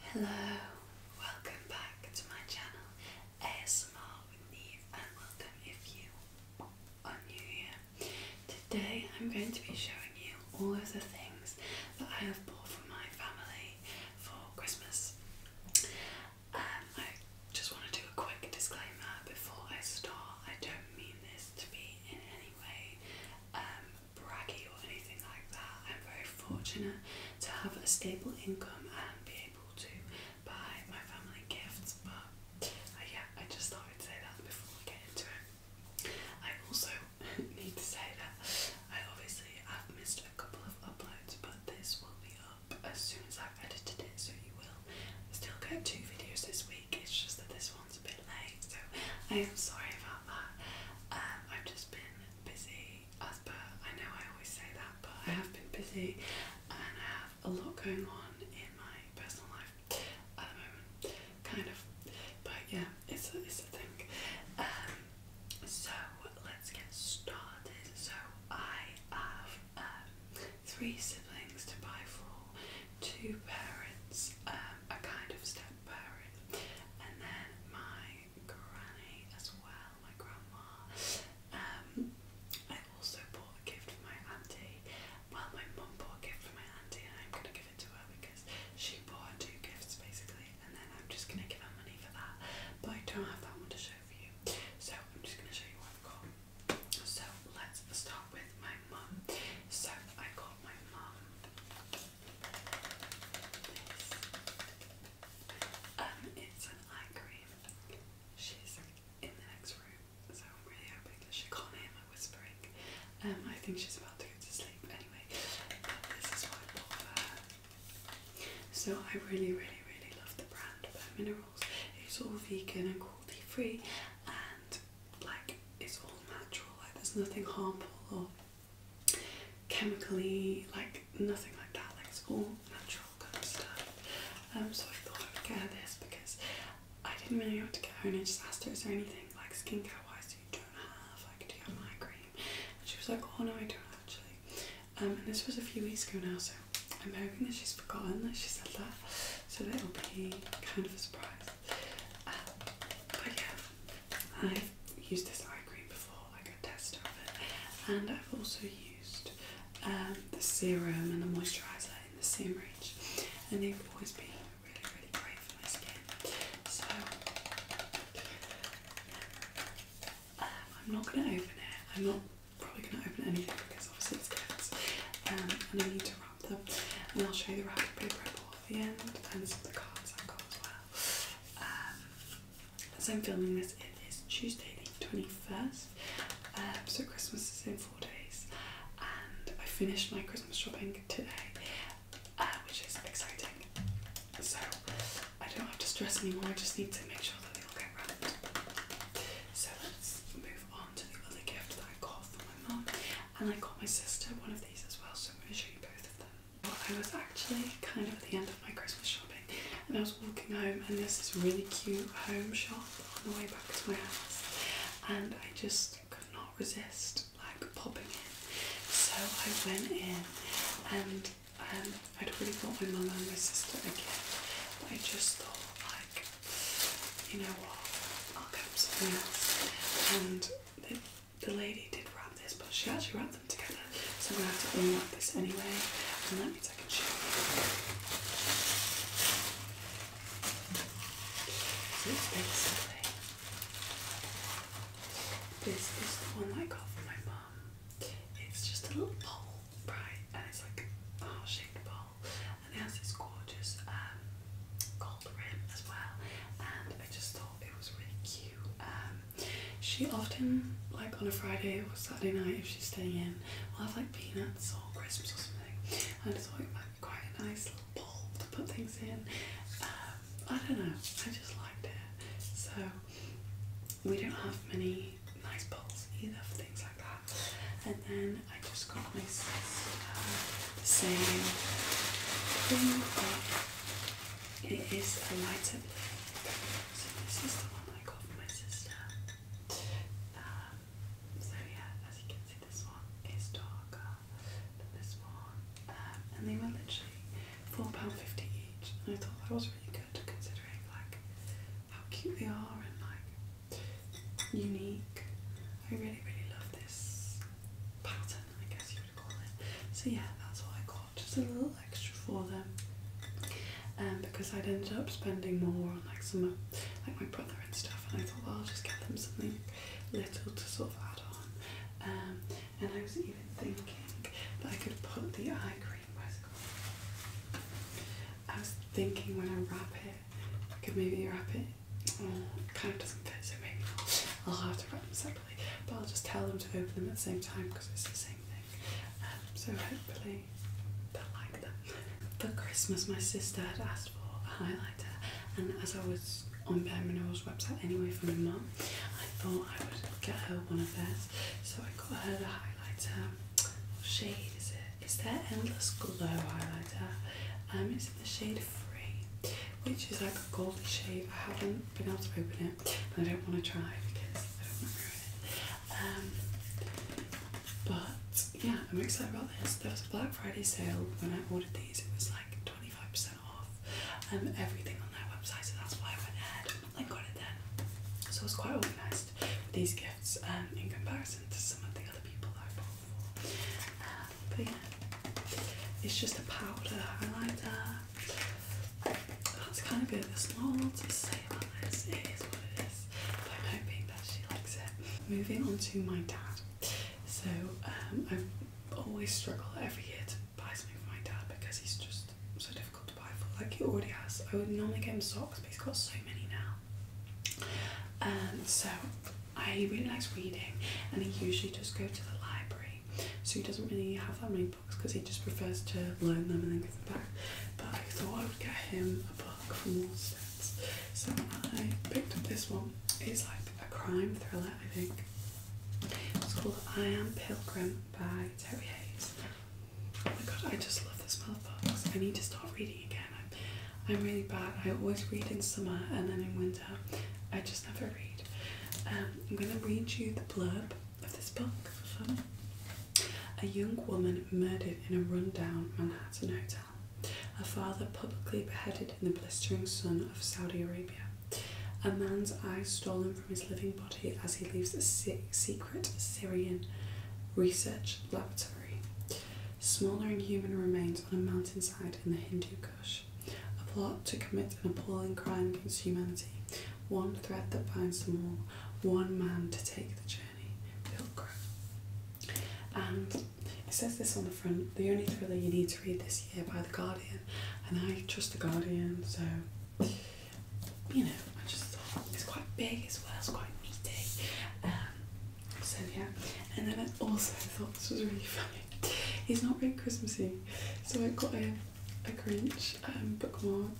Hello, welcome back to my channel ASMR with Neve and welcome if you are new here. Today I'm going to be showing you all of the things that I have bought for my family for Christmas. Um, I just want to do a quick disclaimer before I start. I don't mean this to be in any way um, braggy or anything like that. I'm very fortunate to have a stable income and be able to buy my family gifts, but uh, yeah, I just thought I'd say that before we get into it. I also need to say that I obviously have missed a couple of uploads, but this will be up as soon as I've edited it, so you will still get two videos this week. It's just that this one's a bit late, so I am sorry about that. Um, I've just been busy as per I know I always say that, but I have been busy and I have a lot going on in my personal life at the moment, kind of. But yeah, it's a, it's a thing. Um, so let's get started. So I have um, three siblings to buy for, two parents, um, a kind of step and then my granny as well, my grandma. Um, I also bought a gift for my auntie. Well, my mum bought a gift for my auntie, and I'm gonna give it to her because she bought two gifts basically, and then I'm just gonna give her money for that. But I don't have that one to show for you, so I'm just gonna show you what I've got. So let's start with my mum. So I got my mum um, it's an eye cream. She's in the next room, so I'm really hoping that she can't hear my whispering. Um, I think she's about to go to sleep anyway. this is what I her. So I really, really, really love the brand Bare Minerals. It's all vegan and cruelty free, and like it's all natural. Like there's nothing harmful or chemically, like nothing like that, like it's all natural kind of stuff. Um, so I thought I would get her this because I didn't really know what to get her any disasters or anything like skincare wise you don't have, like do you have my eye cream? And she was like, oh no I don't actually. Um, and this was a few weeks ago now so I'm hoping that she's forgotten that she said that so that'll be kind of a surprise. Um, but yeah, I've used this eye cream before, like a tester of it, and I've also used um, the serum and the moisturiser in the same range, and they've always been really, really great for my skin. So um, I'm not going to open it. I'm not probably going to open anything because obviously it's kids, um, and I need to write and I'll show you the wrapping paper at the end and the cards i got as well. as um, I'm filming this, it is Tuesday the 21st, um, so Christmas is in four days and I finished my Christmas shopping today, uh, which is exciting. So I don't have to stress anymore, I just need to make sure that they all get wrapped. So let's move on to the other gift that I got for my mom and I got my sister one of these as well, so I'm going to show you both of them. I was actually kind of at the end of my Christmas shopping and I was walking home and there's this really cute home shop on the way back to my house and I just could not resist like popping in. So I went in and um, I'd already got my mother and my sister a gift I just thought like, you know what, and the, lady did wrap this, but she actually wrapped them together, so I'm gonna have to unwrap this anyway. And that means I can show you. So basically this is the one I got from my mum. It's just a little bowl, right? And it's like a heart shaped bowl and it has this gorgeous um, gold rim as well. And I just thought it was really cute. Um, she often, like on a Friday or Saturday night, if she's staying in, will have like peanuts or Christmas or something. And I thought it might be quite a nice little bulb to put things in. Um, I don't know, I just liked it. So we don't have many nice bowls either for things like that. And then I just got my sister saying think that it is a lighter blue. So this is the one I got for my sister. Oh um, so yeah, as you can see this one is darker than this one. Um, and they were literally £4.50 each. And I thought that was really good considering like how cute they are and like unique. I really, really love this pattern, I guess you would call it. So yeah, that's what I got, just a little extra for them. Um, because I'd ended up spending more on like some, like my brother and stuff, and I thought well, I'll just get them something little to sort of add on. Um, and I was even thinking that I could put the eye cream. I was thinking when I wrap it I could maybe wrap it. kind of doesn't fit, so maybe I'll have to wrap them separately, but I'll just tell them to open them at the same time because it's the same thing. Um, so hopefully they'll like them. For Christmas, my sister had asked for a highlighter, and as I was on Bare Minerals website anyway for my mum, I thought I would get her one of theirs. So I got her the highlighter. What it? is that Endless Glow highlighter. Um, it's in the shade Free, which is like a golden shade. I haven't been able to open it, I don't want to try because I don't want to ruin it. Um, but yeah, I'm excited about this. There was a Black Friday sale when I ordered these. It was like 25% off um, everything on that website, so that's why I went there. and got it then. So I was quite organised these gifts um, in comparison to some of the other people I've bought but yeah, it's just a powder highlighter. That's kind of good. There's not a lot to say about It is what it is. But I'm hoping that she likes it. Moving on to my dad. So um, I always struggle every year to buy something for my dad because he's just so difficult to buy for. Like he already has. I would normally get him socks, but he's got so many now. Um, so I really likes reading, and he usually just go to the library. So he doesn't really have that many books because he just prefers to loan them and then give them back. But I thought I would get him a book for more Allstats. So I picked up this one. It's like a crime thriller, I think. It's called I Am Pilgrim by Terry Hayes. Oh my god, I just love this smell of books. I need to start reading again. I'm, really bad. I always read in summer and then in winter I just never read. Um, I'm going to read you the blurb of this book for fun. A young woman murdered in a rundown Manhattan hotel. Her father publicly beheaded in the blistering sun of Saudi Arabia. A man's eyes stolen from his living body as he leaves a secret Syrian research laboratory. Smaller in human remains on a mountainside in the Hindu Kush. A plot to commit an appalling crime against humanity. One thread that binds them all. One man to take the journey. Pilgrim. And it says this on the front the only thriller you need to read this year by The Guardian. And I trust The Guardian, so, you know, I just thought it's quite big as well, it's quite meaty. Um, so yeah, and then I also thought this was really funny. He's not very Christmassy, so I got a a Grinch um, bookmark,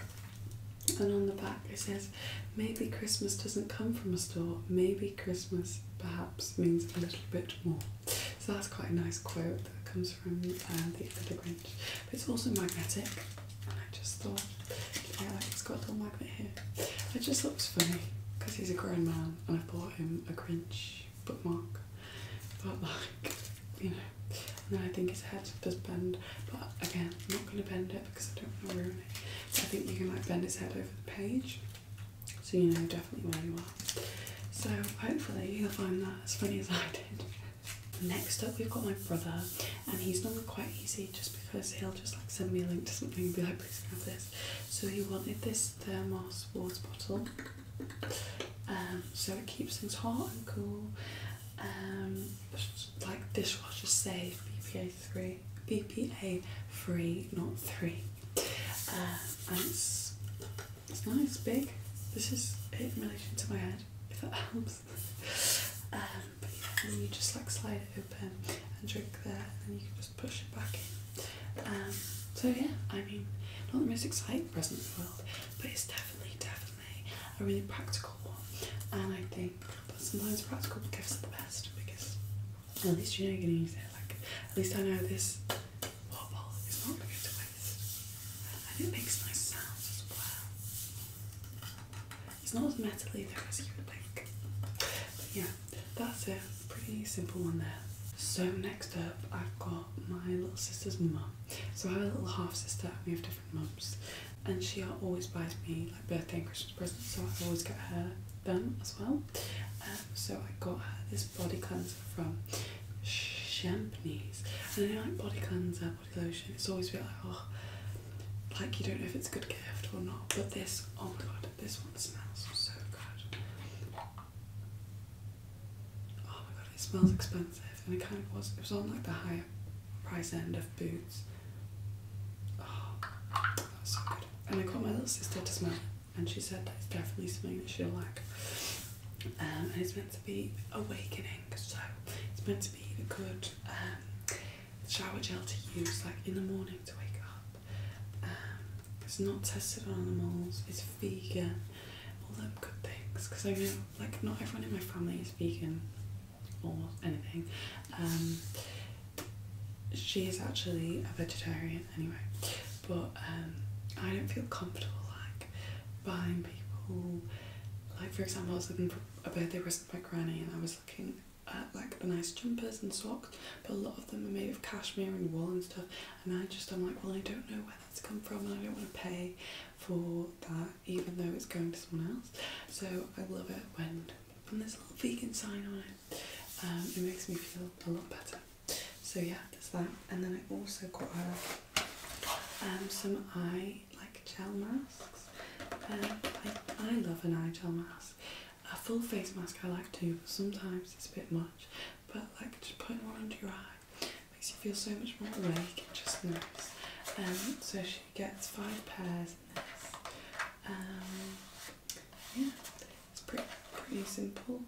and on the back it says, "Maybe Christmas doesn't come from a store. Maybe Christmas perhaps means a little bit more." So that's quite a nice quote that comes from uh, the other Grinch. But it's also magnetic. I just thought, yeah, it's got a little magnet here. It just looks funny because he's a grown man, and I bought him a Grinch bookmark, but like, you know. And I think his head does bend, but again, I'm not going to bend it because I don't want to ruin it. So I think you can like bend his head over the page, so you know definitely where you are. So hopefully you will find that as funny as I did. Next up, we've got my brother, and he's normally quite easy just because he'll just like send me a link to something and be like, please have this. So he wanted this thermal sports bottle, um, so it keeps things hot and cool. Um, like dishwasher safe, BPA three, BPA free, not three. Um, and it's it's nice, big. This is in relation to my head. If that helps. Um, and then you just like slide it open and drink there, and you can just push it back in. Um, so yeah, I mean, not the most exciting present in the world, but it's definitely, definitely a really practical one. And I think that sometimes practical gifts are the best because at least you know you're gonna use it. Like at least I know this water bottle is not gonna go and it makes nice sounds as well. It's not as metal either as you would think. yeah, that's it. Pretty simple one there. So next up, I've got my little sister's mum. So I have a little half sister and we have different mums. And she always buys me like birthday and Christmas presents, so I always get her them as well. Um, so I got her this body cleanser from Champneys. And I like body cleanser lotion. It's always been like, oh, like you don't know if it's a good gift or not. But this, oh my god, this one smells so good. Oh my god, it smells expensive, and it kind of was. It was on like the higher price end of Boots. Oh, so good. And I got my little sister to smell and she said that it's definitely something that she'll like. Um, and it's meant to be awakening, so it's meant to be a good um, shower gel to use like in the morning to wake up. Um, it's not tested on animals, it's vegan, all the good things. Because I know like not everyone in my family is vegan or anything. Um, she is actually a vegetarian anyway, but um, I don't feel comfortable like buying people. Like for example, I was looking for a birthday present for my granny, and I was looking at like the nice jumpers and socks, but a lot of them are made of cashmere and wool and stuff. And I just I'm like, well, I don't know where that's come from, and I don't want to pay for that, even though it's going to someone else. So I love it when there's a little vegan sign on it. Um, it makes me feel a lot better. So yeah, that's that. And then I also got her um, some eye like gel masks. Um, I, love an eye gel mask. A full face mask I like too, but sometimes it's a bit much. But like just putting one under your eye makes you feel so much more awake and just nice. Um, so she gets five pairs in this. Um, yeah, it's pretty pretty simple.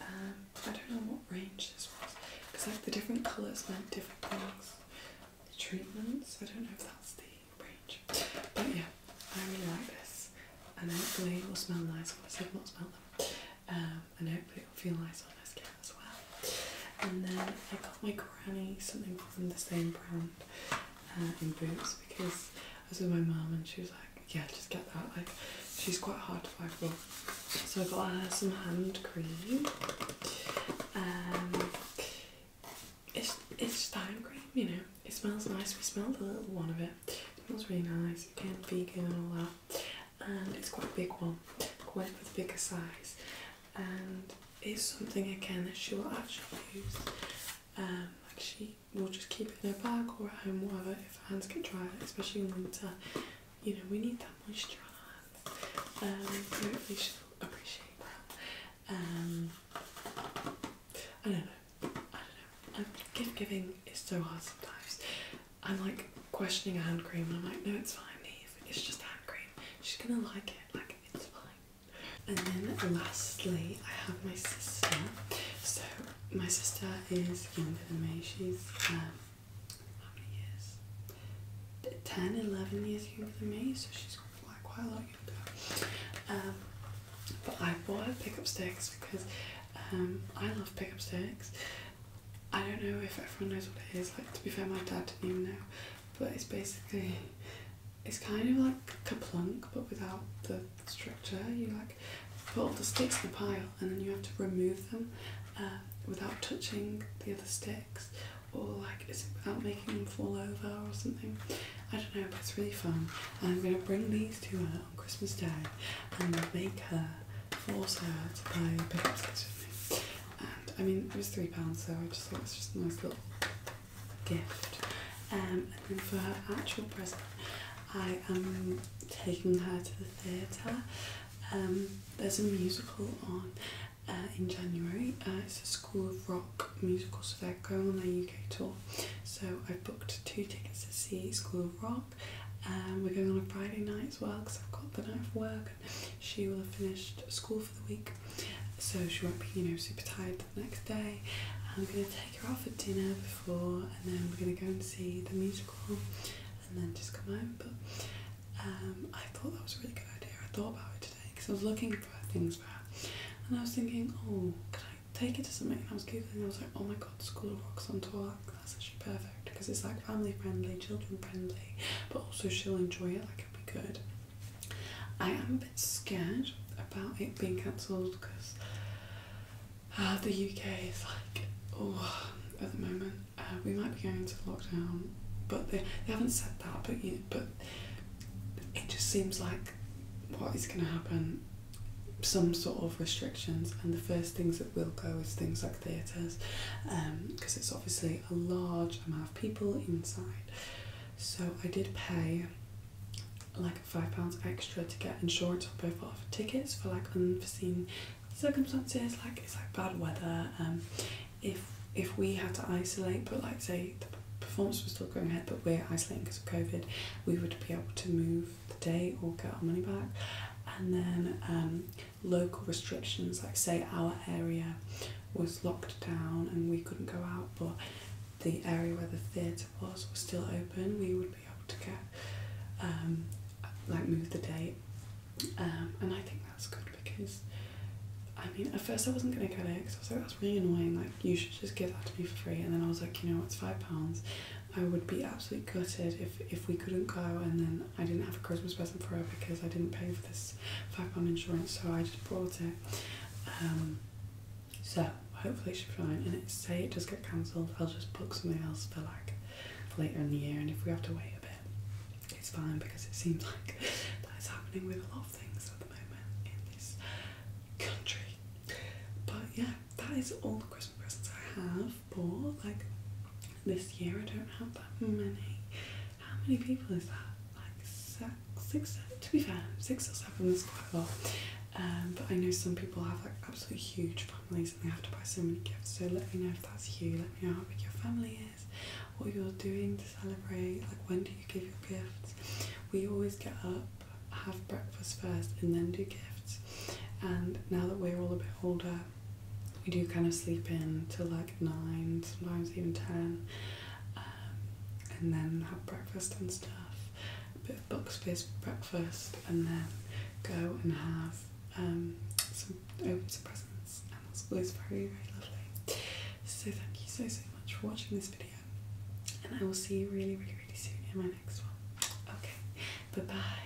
Um, I don't know what range this was because like the different colours meant different things. The treatments, I don't know if that's the range. But yeah, I really like this and hopefully it will smell nice I've not smelled them. Um, and hopefully it will feel nice on my skin as well. And then I got my granny something from the same brand uh, in Boots because I was with my mum and she was like, yeah, just get that. Like, she's quite hard to find for so I got her some hand cream. Um, it's it's hand cream, you know. It smells nice. We smelled a little one of it. It smells really nice. Again, vegan and all that. And it's quite a big one. Quite for the bigger size. And it's something again that she will actually use. And um, like she will just keep it in her bag or at home, whatever. If her hands get dry, especially in winter, you know, we need that moisturiser. on our hands. Um, hopefully appreciate that. Um, I don't know. I don't know. Um, gift giving is so hard sometimes. I'm like questioning a hand cream and I'm like, no, it's fine, leave. It's just hand cream. She's gonna like it. Like, it's fine. And then lastly, I have my sister. So, my sister is younger than me. She's um, how many years? Ten, eleven years younger than me, so she's got like quite a lot younger. Um, but I bought pickup sticks because um, I love pickup sticks. I don't know if everyone knows what it is. Like to be fair, my dad didn't even know. But it's basically it's kind of like a plunk, but without the structure. You like put all the sticks in a pile, and then you have to remove them um, without touching the other sticks, or like is it without making them fall over or something? I don't know, but it's really fun. I'm gonna bring these to her on Christmas Day and make her force her to play paper sticks with me. And I mean, it was three pounds, so I just thought it's just a nice little gift. Um, and then for her actual present, I am taking her to the theatre um, there's a musical on uh, in January. Uh, it's a School of Rock musical, so they're going on a UK tour. So I've booked two tickets to see School of Rock. Um, we're going on a Friday night as well because I've got the night of work. She will have finished school for the week, so she won't be, you know, super tired the next day. I'm gonna take her out for dinner before, and then we're gonna go and see the musical and then just come home. But um, I thought that was a really good idea. I thought about it today because I was looking for things and I was thinking, oh, can I take it to something? And I was googling, I was like, oh my god, School of Rocks on tour. That's actually perfect because it's like family friendly, children friendly, but also she'll enjoy it. Like it'll be good. I am a bit scared about it being cancelled because uh, the UK is like, oh, at the moment. Uh, we might be going into lockdown, but they, they haven't said that, but, you, but it just seems like what is going to happen some sort of restrictions and the first things that will go is things like theatres because um, it's obviously a large amount of people inside so i did pay like five pounds extra to get insurance on both of tickets for like unforeseen circumstances like it's like bad weather and um, if if we had to isolate but like say the performance was still going ahead but we're isolating because of covid we would be able to move the day or get our money back and then um, local restrictions like say our area was locked down and we couldn't go out but the area where the theatre was was still open we would be able to get, um, like move the date. Um, and I think that's good because, I mean, at first I wasn't going to get it because I was like, that's really annoying. Like, you should just give that to me for free. And then I was like, you know, it's £5. I would be absolutely gutted if, if we couldn't go and then I didn't have a Christmas present for her because I didn't pay for this £5 insurance, so I just bought it. Um, so hopefully it should be fine. And it, say it does get cancelled, I'll just book something else for like later in the year. And if we have to wait a bit, it's fine because it seems like that is happening with a lot of things at the moment in this country. But yeah, that is all the Christmas presents I have bought. Like this year, I don't have that many. How many people is that? Like six, to be fair, six or seven is quite a lot. Um, but I know some people have like absolutely huge families and have to buy so many gifts. So let me know if that's you. Let me know how big your family is, what you're doing to celebrate. Like when do you give your gifts? We always get up, have breakfast first, and then do gifts. And now that we're all a bit older, we do kind of sleep in till like nine, sometimes even ten, um, and then have breakfast and stuff box Boxfist breakfast and then go and have um, some open some presents and that's always very very lovely. So thank you so so much for watching this video and I will see you really really really soon in my next one. Okay, bye bye.